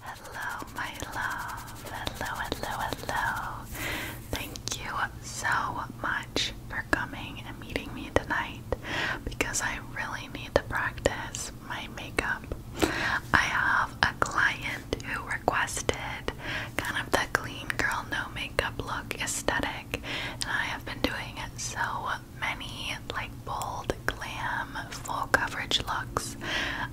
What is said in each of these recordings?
Hello, my love. Hello, hello, hello. Thank you so much for coming and meeting me tonight because I really need to practice my makeup. I have a client who requested kind of the clean girl, no makeup look aesthetic, and I have been doing it so many like bold glam full coverage looks.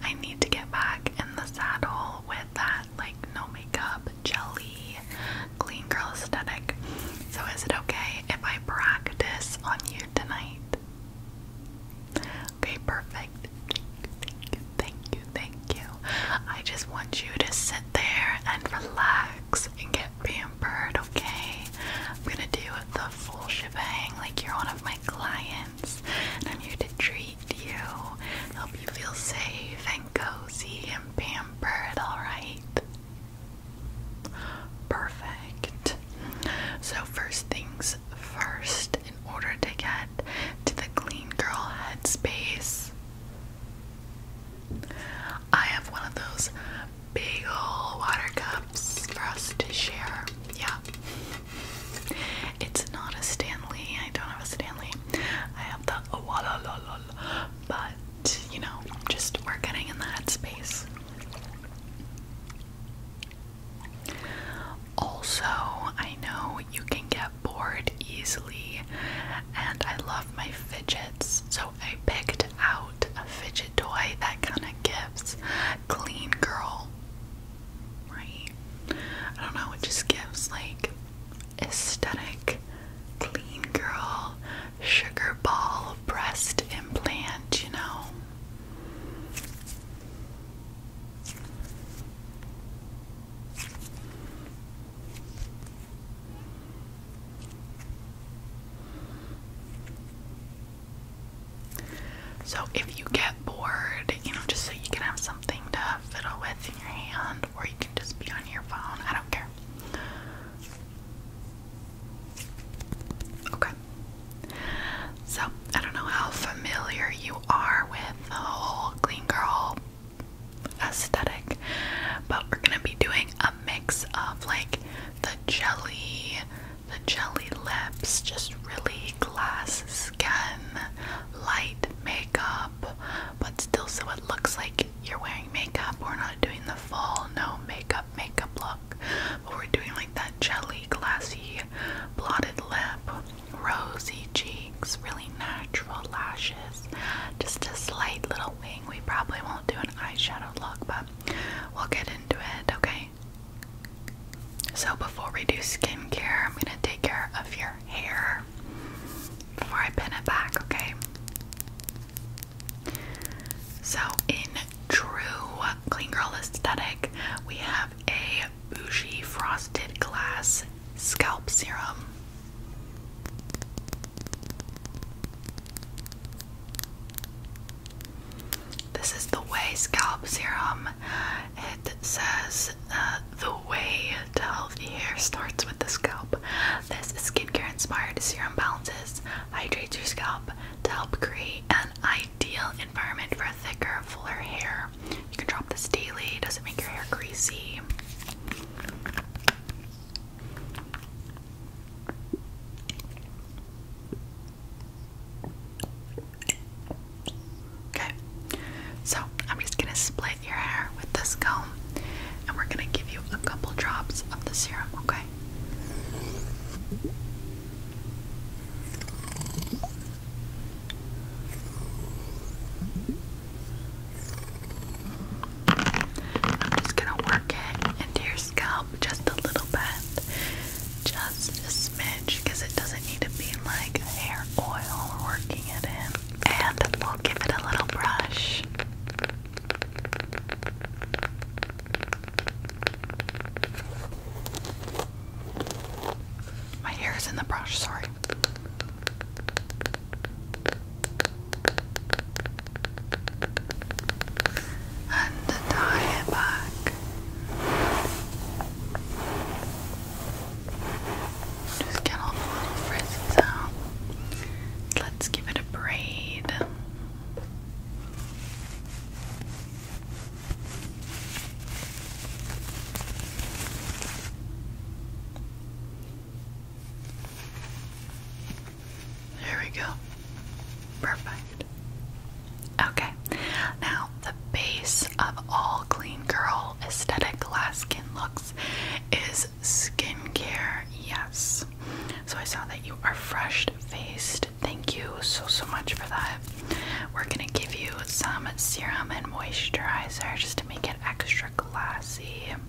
I need to get back in the saddle with that like no makeup jelly clean girl aesthetic. So is it okay if I practice on you tonight? Okay, perfect. Thank you, thank you, thank you, thank you. I just want you to sit there and relax and get pampered, okay? I'm gonna do the full shebang, like you're one of my clients, and I'm here to treat you, help you feel safe and cozy and pampered, alright? Perfect. So, first things first, in order to get to the clean girl headspace, I have one of those big ol' water cups for us to share. Yeah. It's not a Stanley. I don't have a Stanley. I have the oh, la, la, la, la. But, you know, just we're getting in that space. Also, I know you can get bored easily, and I love my fidgets, so I picked out a fidget toy that that kind of gives clean girl, right? I don't know, it just gives like aesthetic clean girl sugar ball breast implant, you know. So if you get bored, you know, just so you can have something to fiddle with in your hand, or you can just be on your phone, I don't care. Okay. So I don't know how familiar you are with the whole clean girl aesthetic, but we're gonna be doing a mix of like the jelly the jelly lips, just really glass skin, light makeup, but still so it looks like you're wearing makeup. We're not doing the full no makeup makeup look, but we're doing like that jelly, glassy, blotted lip, rosy cheeks, really natural lashes, just a slight little wing. We probably won't do an eyeshadow look, but we'll get into it, okay? So, before we do skincare, I'm going to take care of your hair before I pin it back, okay? So, in true Clean Girl aesthetic, we have a bougie frosted glass scalp serum. This is the Way Scalp Serum. It says uh, the way to healthy hair starts with the scalp. This skincare inspired serum balances, hydrates your scalp to help create an ideal environment for thicker, fuller hair. You can drop this daily, doesn't make your hair greasy. Okay, so I'm just gonna split your hair with this comb and we're gonna give you a couple drops of the serum, okay? I'm just gonna work it into your scalp just a little bit, just a smidge, because it doesn't need to be like hair oil working it in. And we'll give it a little brush. My hair is in the brush, sorry. And tie it back. Just get all the little frizzes out. Let's give it a braid. There we go. Perfect. Okay, now the base of all clean girl aesthetic glass skin looks is skincare. Yes. So I saw that you are fresh faced. Thank you so so much for that. We're gonna give you some serum and moisturizer just to make it extra glossy. I'm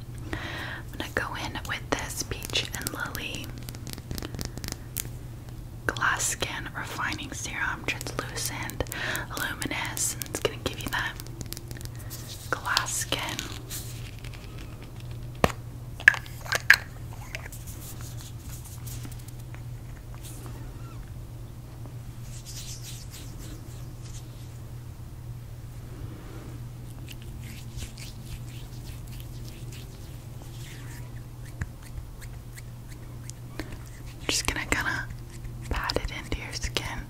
gonna go in with this peach and lily. Glass Skin Refining Serum, translucent, luminous, it's gonna give you that glass skin. I'm just gonna kinda pat it into your skin.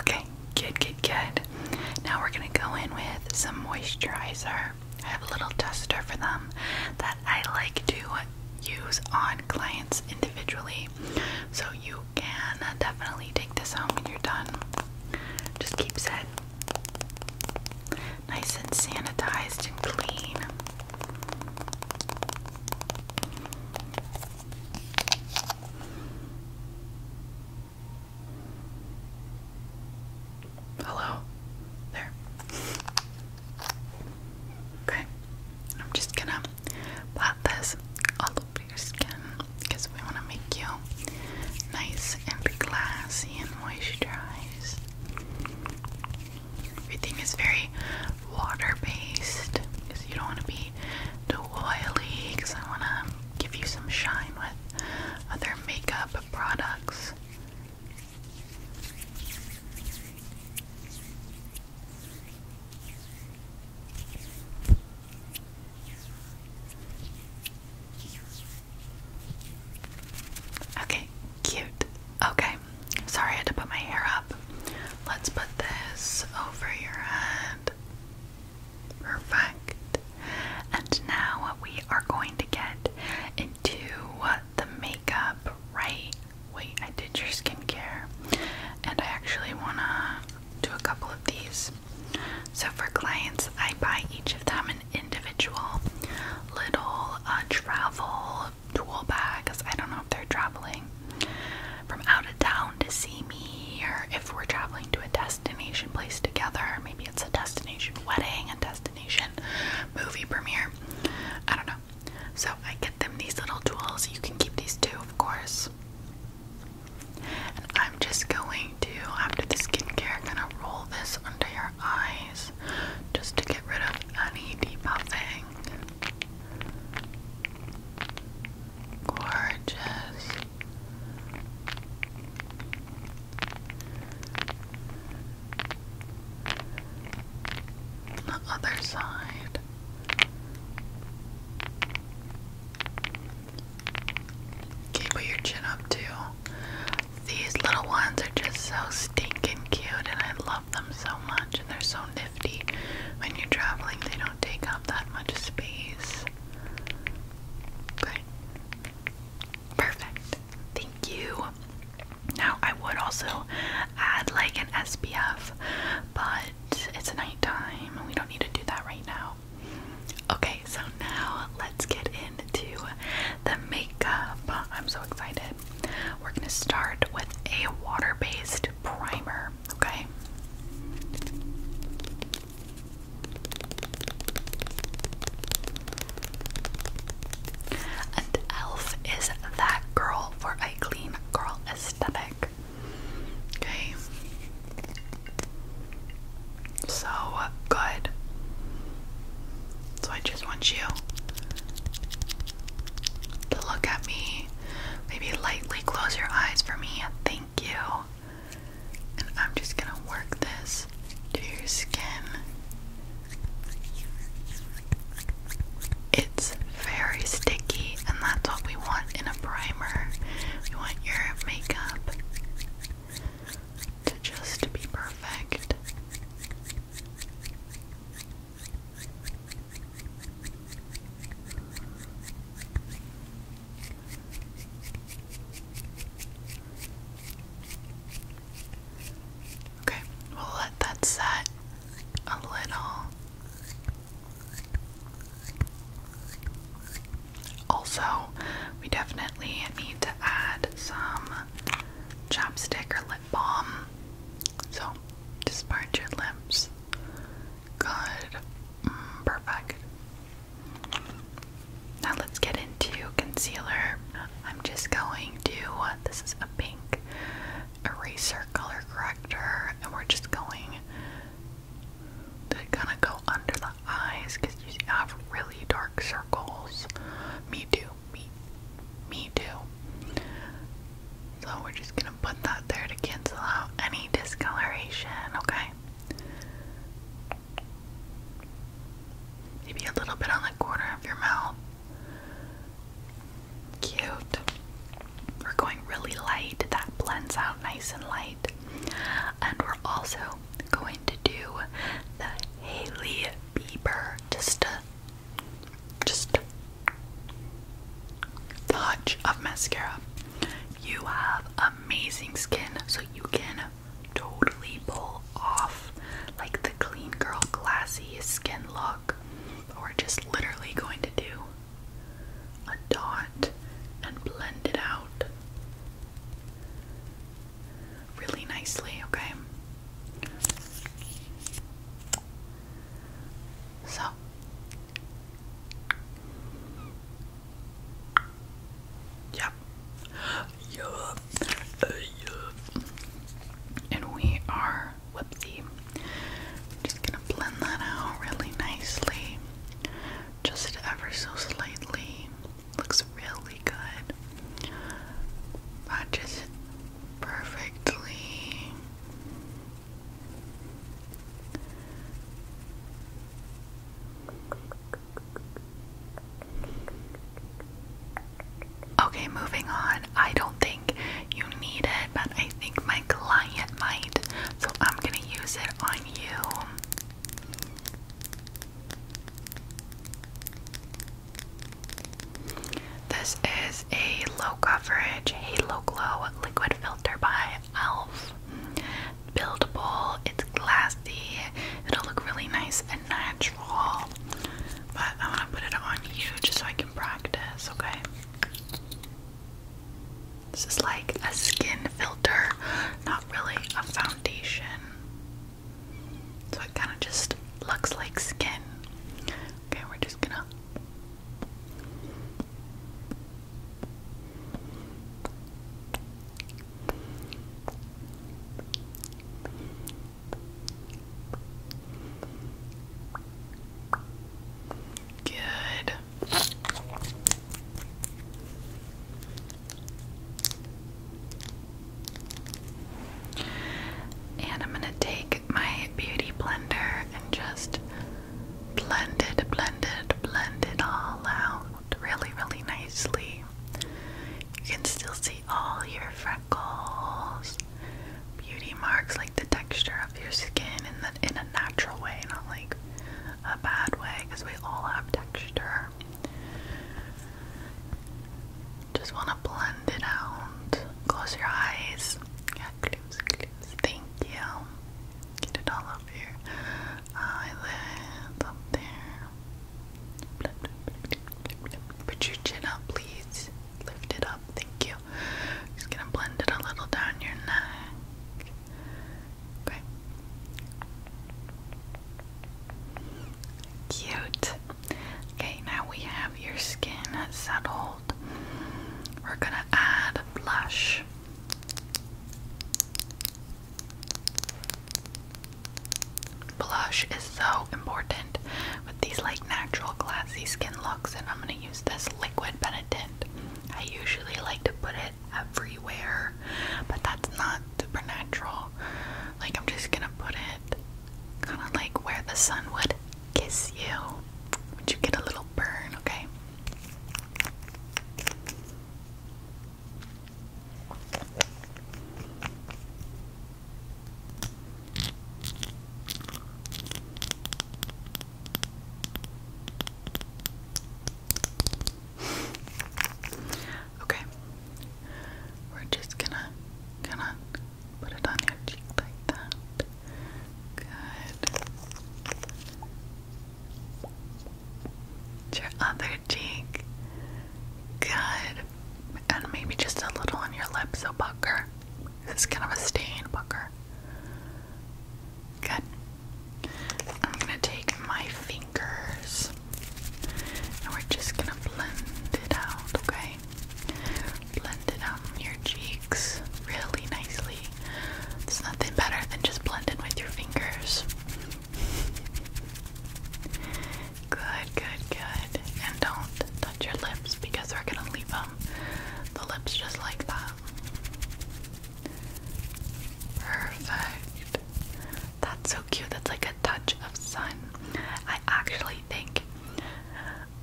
Okay, good, good, good. Now we're gonna go in with some moisturizer. I have a little duster for them that I like to use on clients individually. So you can definitely take this home when you're done. Just keep said nice and sanitized and clean. Hello? There. Okay. I'm just gonna blot this all over your skin because we want to make you nice and glassy and moisturized. Everything is very water based because you don't want to be too oily because I want to give you some shine with other makeup products. Okay, cute. Okay, sorry I had to put my hair up. Let's put this over your head. Perfect. And now we are going to get into the makeup, right? Wait, I did your skincare. And I actually want to do a couple of these. So for clients, I buy each of them an individual little uh, travel tool bags. I don't know if they're traveling from out of town to see me or if we're traveling to a destination place together. Maybe it's a destination wedding, a destination movie premiere. I don't know. So I get them these little tools. You can keep these too, of course. And I'm just going to, after the skincare, gonna roll this under your eyes just to get rid of any debuffing. Gorgeous. The other side. Okay, your chin up too. These little ones are just so stinking cute, and I them so much and they're so nifty. When you're traveling, they don't take up that much space. But perfect. Thank you. Now I would also add like an SPF, but it's nighttime and we don't need to do that right now. Okay, so now let's get into the makeup. I'm so excited. We're going to start with a water based primer, okay? And e.l.f. is that girl for a clean girl aesthetic. Okay. So good. So I just want you to look at me. Maybe lightly close your eyes for me. Thank you. And I'm just gonna work this to your skin. It's very sticky, and that's what we want in a primer. We want your makeup to just be perfect. Okay, we'll let that set a little. Also, we definitely need to add some Chopstick or lip balm. So just part your lips. Good. Mm, perfect. Now let's get into concealer. I'm just going to, this is a pink eraser color corrector, and we're just going to kind of go under the eyes because you have really dark circles. Me too. Me, me too. So we're just gonna put that there to cancel out any discoloration, okay? Maybe a little bit on the corner of your mouth. Cute. We're going really light. That blends out nice and light. And we're also going to do the Haley Bieber, just a just touch of mascara. You have amazing skin, so you can totally pull off like the clean girl, glassy skin look. But we're just literally going to do a dot and blend it out really nicely, okay? So Yep. Uh, yup. And we are whoopsie. Just gonna blend that out really nicely. Just ever so slightly. Looks really good. But just perfectly. Okay, moving on. I don't think you need it, but I think my client might, so I'm gonna use it on you. This is a low coverage Halo Glow liquid filter by e.l.f. Buildable, it's glassy, it'll look really nice and natural. But I want to put it on you just so I can practice, okay? This is like a skin filter, not really a foundation. So it kind of just looks like skin. Okay, we're just gonna Good. And I'm going to take my beauty blender and just blended, blended, blended all out really, really nicely. You can still see all your freckles, beauty marks, like the texture of your skin in a natural way, not like a bad way, because we all have texture. Just want to blend it out. Close your eyes. Yeah, close, close. Thank you. Get it all over your eyelids up there. Put your chin up, please. Lift it up. Thank you. Just gonna blend it a little down your neck. Okay. Cute. Okay, now we have your skin settled. We're gonna add blush. Blush is so important with these like natural glassy skin looks, and I'm gonna use this liquid Benetint. I usually like to put it everywhere, but that's not supernatural. Like I'm just gonna put it kind of like where the sun would kiss you. Would you get a little burn, okay? okay, we're just gonna, gonna Put it on your cheek like that. Good. your other cheek. Good. And maybe just a little on your lip, so pucker. This is kind of a stain, pucker. Good. I'm gonna take my fingers and we're just gonna blend it out, okay? okay? Blend it out your cheeks really nicely. There's nothing better than just blending with your fingers. Good, good, good. And don't touch your lips because we're gonna leave them the lips just like that. Perfect. That's so cute. That's like a touch of sun. I actually think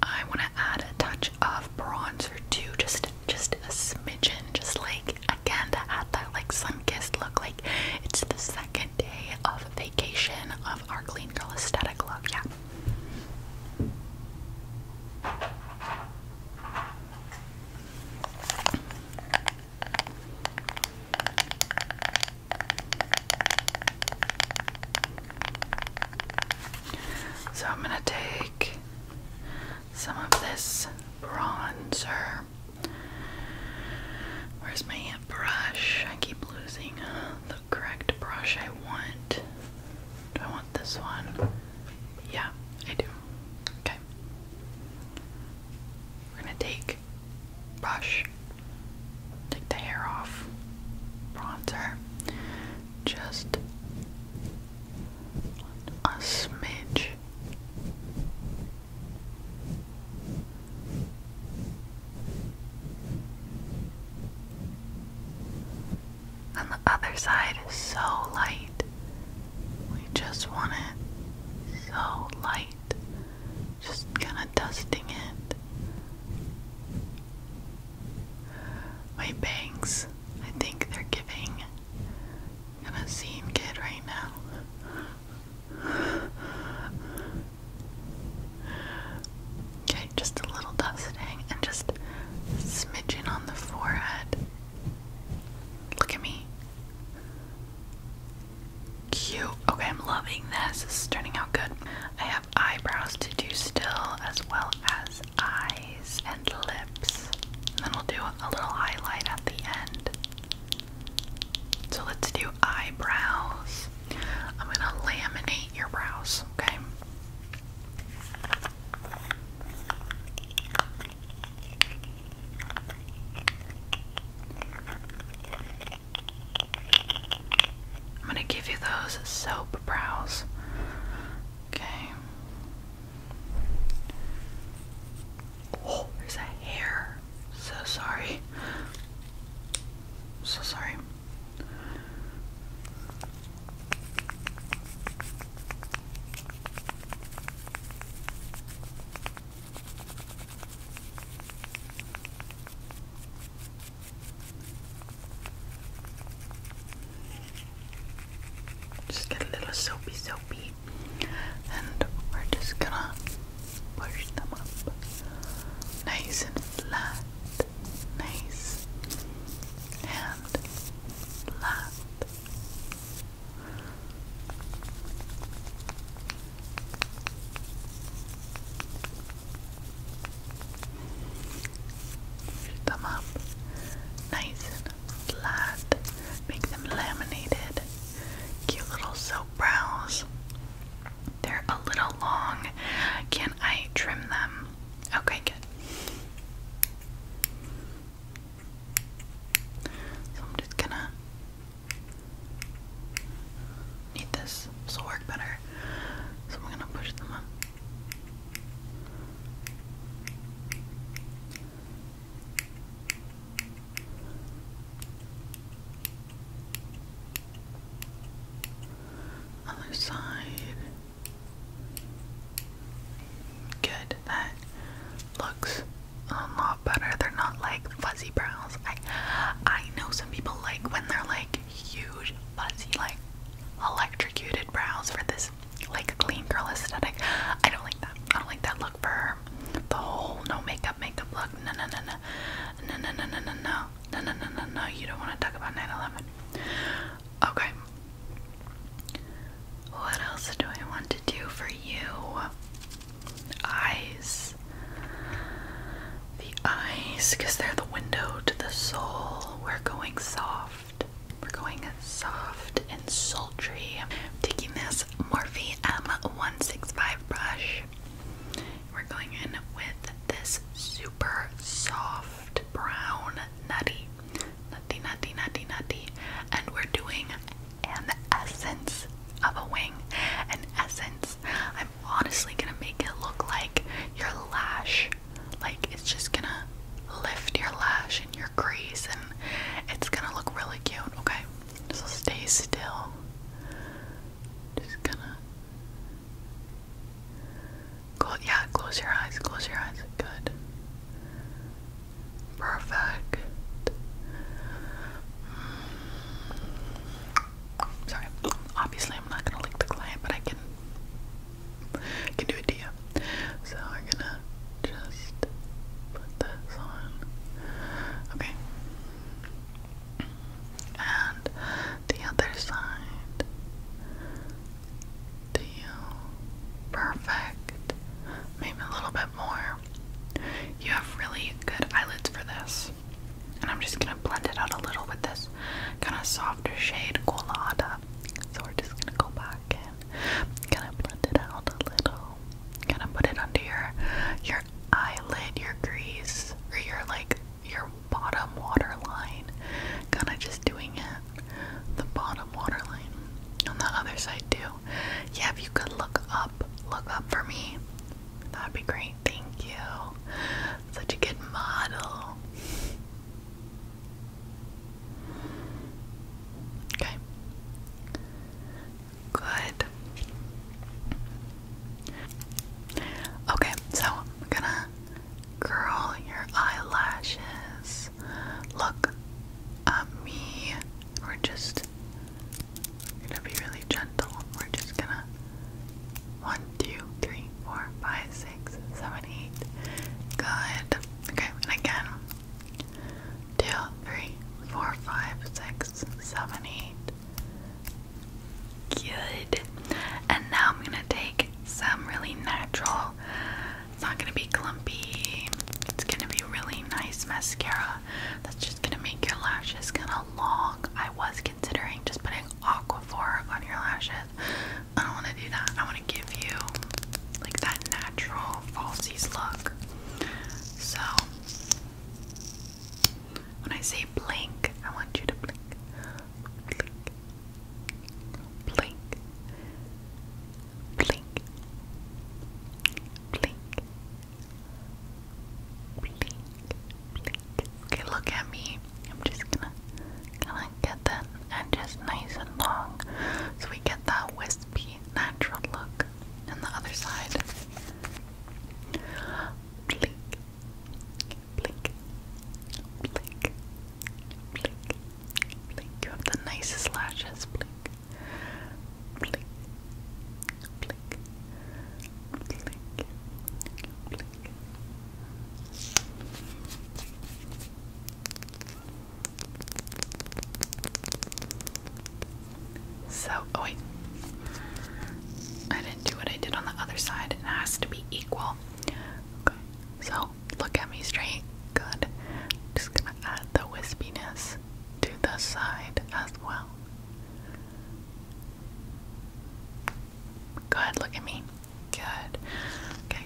I want to add a touch of bronzer too, just just a smidgen, just like again to add that like sun-kissed look. Like it's the second day of vacation of our clean girl aesthetic look. Yeah. So I'm going to take some of this bronzer. Where's my brush? I keep losing uh, the correct brush I want. Do I want this one? Yeah, I do. Okay. We're going to take brush take the hair off bronzer, just a smidge. And the other side is so light. We just want it so light. Just kind of dusting it my bangs, I think they're giving. I'm a scene kid right now. Okay, just a little dusting and just smidgen on the forehead. Look at me. Cute. Okay, I'm loving this. This is turning out good. I eyebrows to do still, as well as eyes and lips. And then we'll do a little highlight at the end. So let's do eyebrows. I'm gonna laminate your brows, okay? I'm gonna give you those soap brows. Okay. Oh, there's a hair. So sorry. So sorry. Just get a little soapy soapy and we're just gonna push them up nice and flat, nice and flat. Shoot up nice flat. Make them laminated. Cute little soap brows. They're a little long. Can I trim them? Okay, good. So I'm just gonna need this. This will work better. So I'm gonna push them up. Other side. Good. That looks a lot better. They're not like fuzzy brows. I I know some people like when they're like huge, fuzzy, like electrocuted brows for this like clean girl aesthetic. I don't like that. I don't like that look for her. The whole no makeup makeup look. No no no no no no no no no no no no you don't want to talk about 9-11. Okay. What else do I want to do for you? Eyes the eyes because they're the window to the soul. We're going soft. We're going soft and sultry. I'm taking this Morphe M165 brush. We're going in with this super soft brown nutty. Nutty, nutty, nutty, nutty. And we're doing an essence of a wing. An essence I'm honestly gonna make it look like your lash. Like it's just gonna lift your lash and your crease, and it's gonna look really cute, okay? So stay still. Just gonna. Close, yeah, close your eyes, close your eyes. Good. Perfect. Sorry. Obviously, I'm not gonna lick the client, but I can can do it to you. So I'm gonna just put this on. Okay. And the other side. Do Perfect. Maybe a little bit more. You have really good eyelids for this. And I'm just gonna blend it out a little with this kind of softer shade, Colada. So we're just gonna go back and kind of blend it out a little. Kind of put it under your your eyelid, your crease, or your like your bottom waterline. Kind of just doing it the bottom waterline on the other side too. Yeah, if you could look up, look up for me. That'd be great thank you. Such a good model. Okay. Good. Okay, so I'm gonna curl your eyelashes. Look at um, me. We're just gonna be really gentle. We're just gonna one, two, three three, four, five, six, seven, eight. Good. Okay, and again. Two, three, four, five, six, seven, eight. Good. And now I'm gonna take some really natural. It's not gonna be clumpy. It's gonna be really nice mascara. That's just gonna make your lashes kind of long. I was considering just putting aqua four on your lashes. I don't want to do that. I want to give you like that natural falsies look. So when I say blink, I want you to blink. Blink. Blink. Blink. Blink. Blink blink. Okay, look at me. I'm just gonna gonna get that and just nice and long. So we get that wispy natural look. And the other side. Blink. Blink. Blink. Blink. Blink. You have the nicest lashes. Blink. Blink. Blink. Blink. Blink. So, oh wait. I didn't do what I did on the other side. It has to be equal. Okay, so look at me straight. Good. Just gonna add the wispiness to the side as well. Good, look at me. Good. Okay.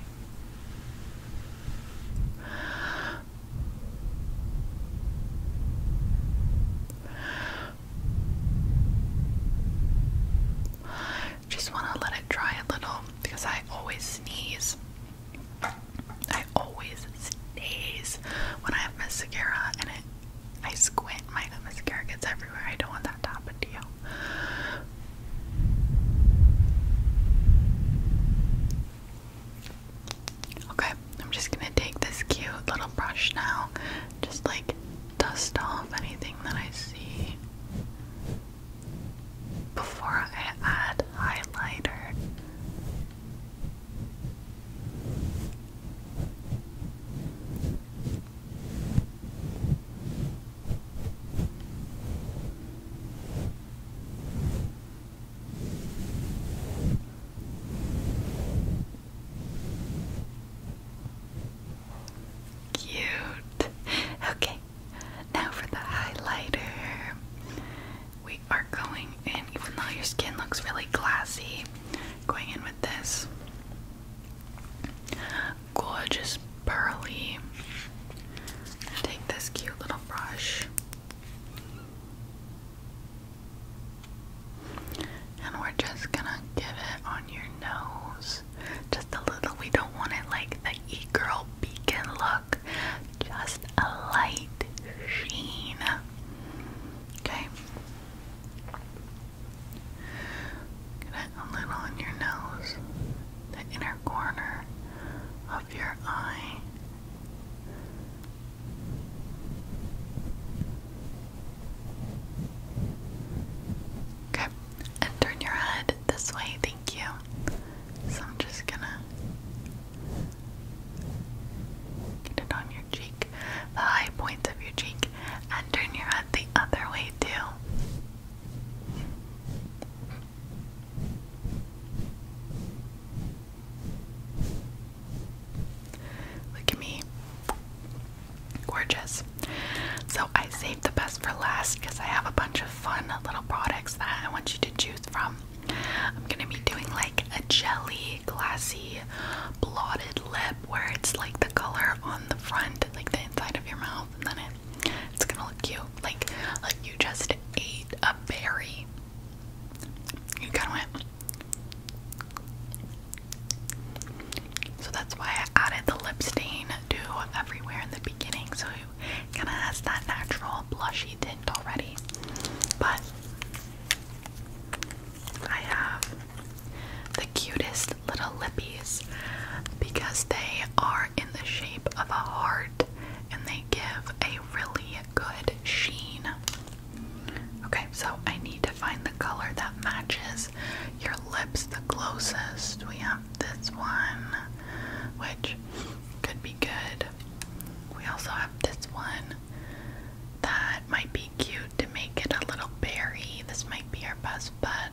Just want to let it dry a little because I always sneeze. I always sneeze when I have mascara and it, I squint. My mascara gets I don't want that to happen to you. Okay, I'm just gonna take this cute little brush now, just like dust off anything that I see before I add highlighter. Cute. Okay, now for the highlighter. We are going in, even though your skin looks really glassy, going in with this gorgeous pearly. take this cute little brush. And we're just gonna give it on your nose. Just a little. We don't want it like the e girl beacon look. Just a light sheen. Okay. Get it a little on your nose, the inner corner of your eye. Okay, and turn your head this way, thank you. So I'm just gonna get it on your cheek, the high points of your cheek and turn your head the other way too. Look at me. Gorgeous. So I saved the best for last because I have a bunch of fun little products that I want you to choose from. I'm gonna be doing like a jelly glassy blotted lip where it's like the color on the front, like the inside of your mouth, and then it, it's gonna look cute. Like, like you just ate a berry. You kind of went. So that's why I added the lip stain to everywhere in the beginning, so it kind of has that natural blushy tint already. But I have the cutest little lippies because they are in the shape of a heart and they give a really good sheen. Okay, so I need to find the color that matches your lips the closest. We have this one, which could be good. We also have this one that might be cute to make it a little berry. This might be our best bet.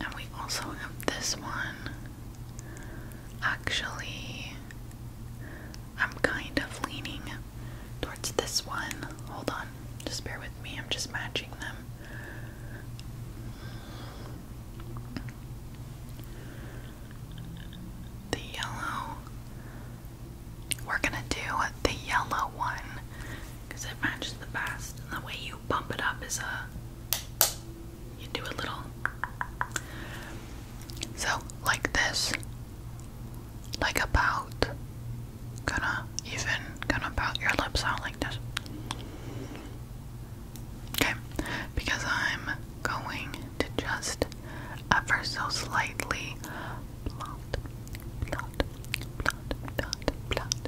And we also have this one. Actually, I'm kind of leaning towards this one. Hold on, just bear with me. I'm just matching them. The yellow. We're gonna do the yellow one because it matches the best. And the way you bump it up is a you do a little so like this, like about gonna even gonna about your lips out like this. Okay, because I'm going to just ever so slightly blot, blot, blot, blot, blot,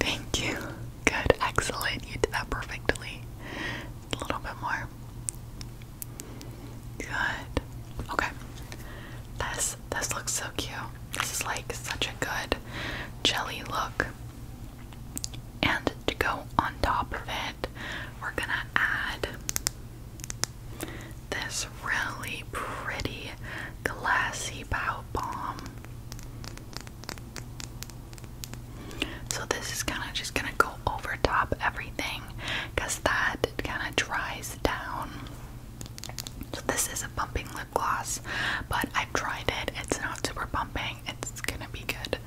Thank you. Good, excellent. You did that perfectly. A little bit more. Good. Okay. This this looks so cute. This is like such a good jelly look. And to go on top of it, we're gonna add this really pretty glassy pout bomb. So this is kind of just going to go over top everything because that kind of dries down. So this is a bumping lip gloss, but I've tried it. It's not super bumping. It's going to be good.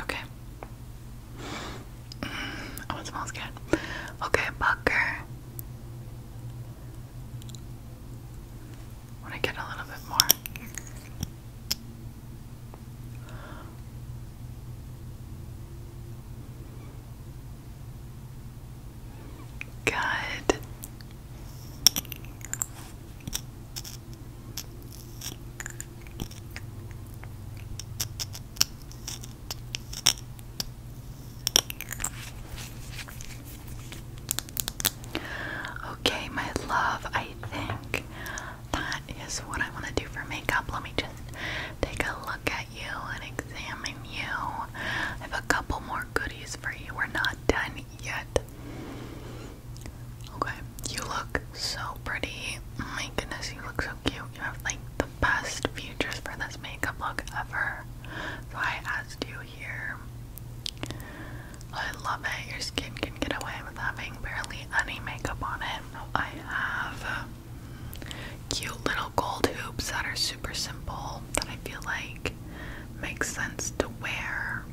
Okay. oh, it smells good. Okay, Bucker. Want to get a little bit more. Good. Okay, my love, I think that is what I want to do for makeup. Let me just take a look at you and examine you. I have a couple more goodies for you. We're not done yet. Okay, you look so pretty. My goodness, you look so cute. You have like the best futures for this makeup look ever. So I asked you here. I love it. Your skin can get away with having barely any makeup on it. I have uh, cute little gold hoops that are super simple that I feel like makes sense to wear.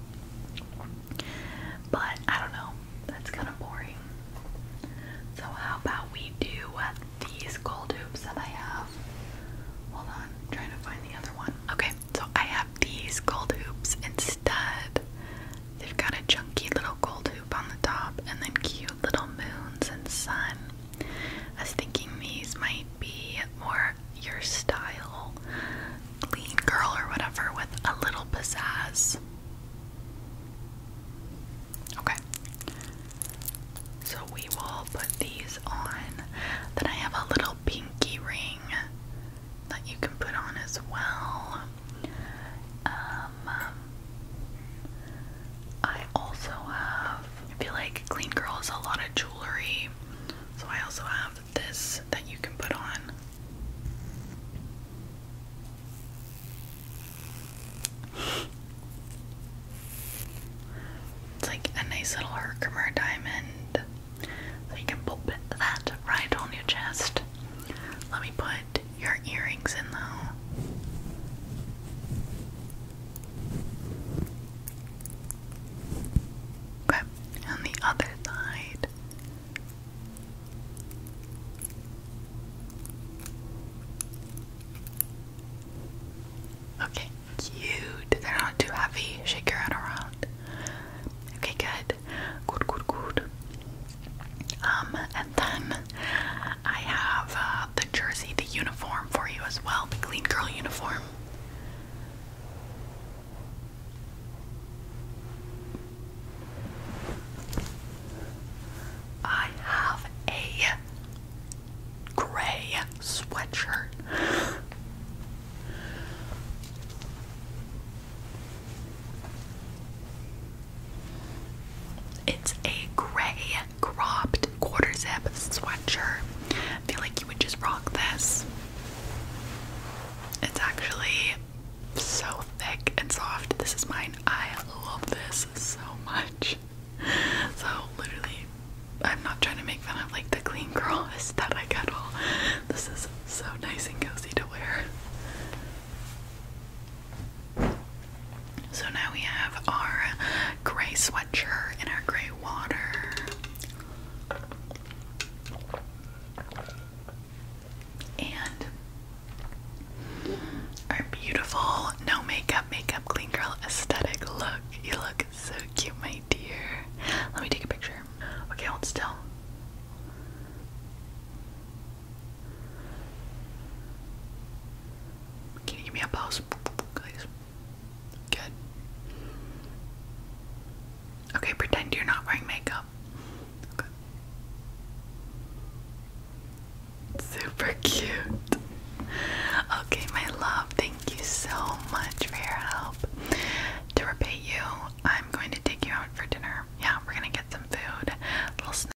But I don't know, that's kind of boring. So, how about we do these gold hoops that I have? Hold on, I'm trying to find the other one. Okay, so I have these gold hoops instead. Instead, they've got a chunky little gold hoop on the top and then cute little moons and sun. I was thinking these might be more your style, clean girl or whatever, with a little pizzazz. Okay. So we will put these on. Then I have a little pinky ring that you can put on as well. Um, um, I also have, I feel like Clean Girl is a lot of jewelry, so I also have this that you can put on. It's like a nice little Herkimer diamond. So you can put that right on your chest. Let me put your earrings in though. Okay, on the other side. Okay, cute. They're not too heavy. Shake your head around. Okay, good good, good, good, um, and then I have uh, the jersey, the uniform for you as well, the clean girl uniform. I have a gray sweatshirt. It's a gray cropped quarter zip sweatshirt. I feel like you would just rock this. It's actually so thick and soft. This is mine. I love this so much. So, literally, I'm not trying to make fun of like the clean that I at all. This is so nice and cozy to wear. So now we have our gray sweatshirt and our gray water. And our beautiful no makeup, makeup, clean girl aesthetic look. You look so cute, my dear. Let me take a picture. Okay, hold still. Can you give me a pause, please? Good. Okay, pretend you're not wearing makeup. Super cute. Okay, my love, thank you so much for your help. To repay you, I'm going to take you out for dinner. Yeah, we're gonna get some food, a little snack.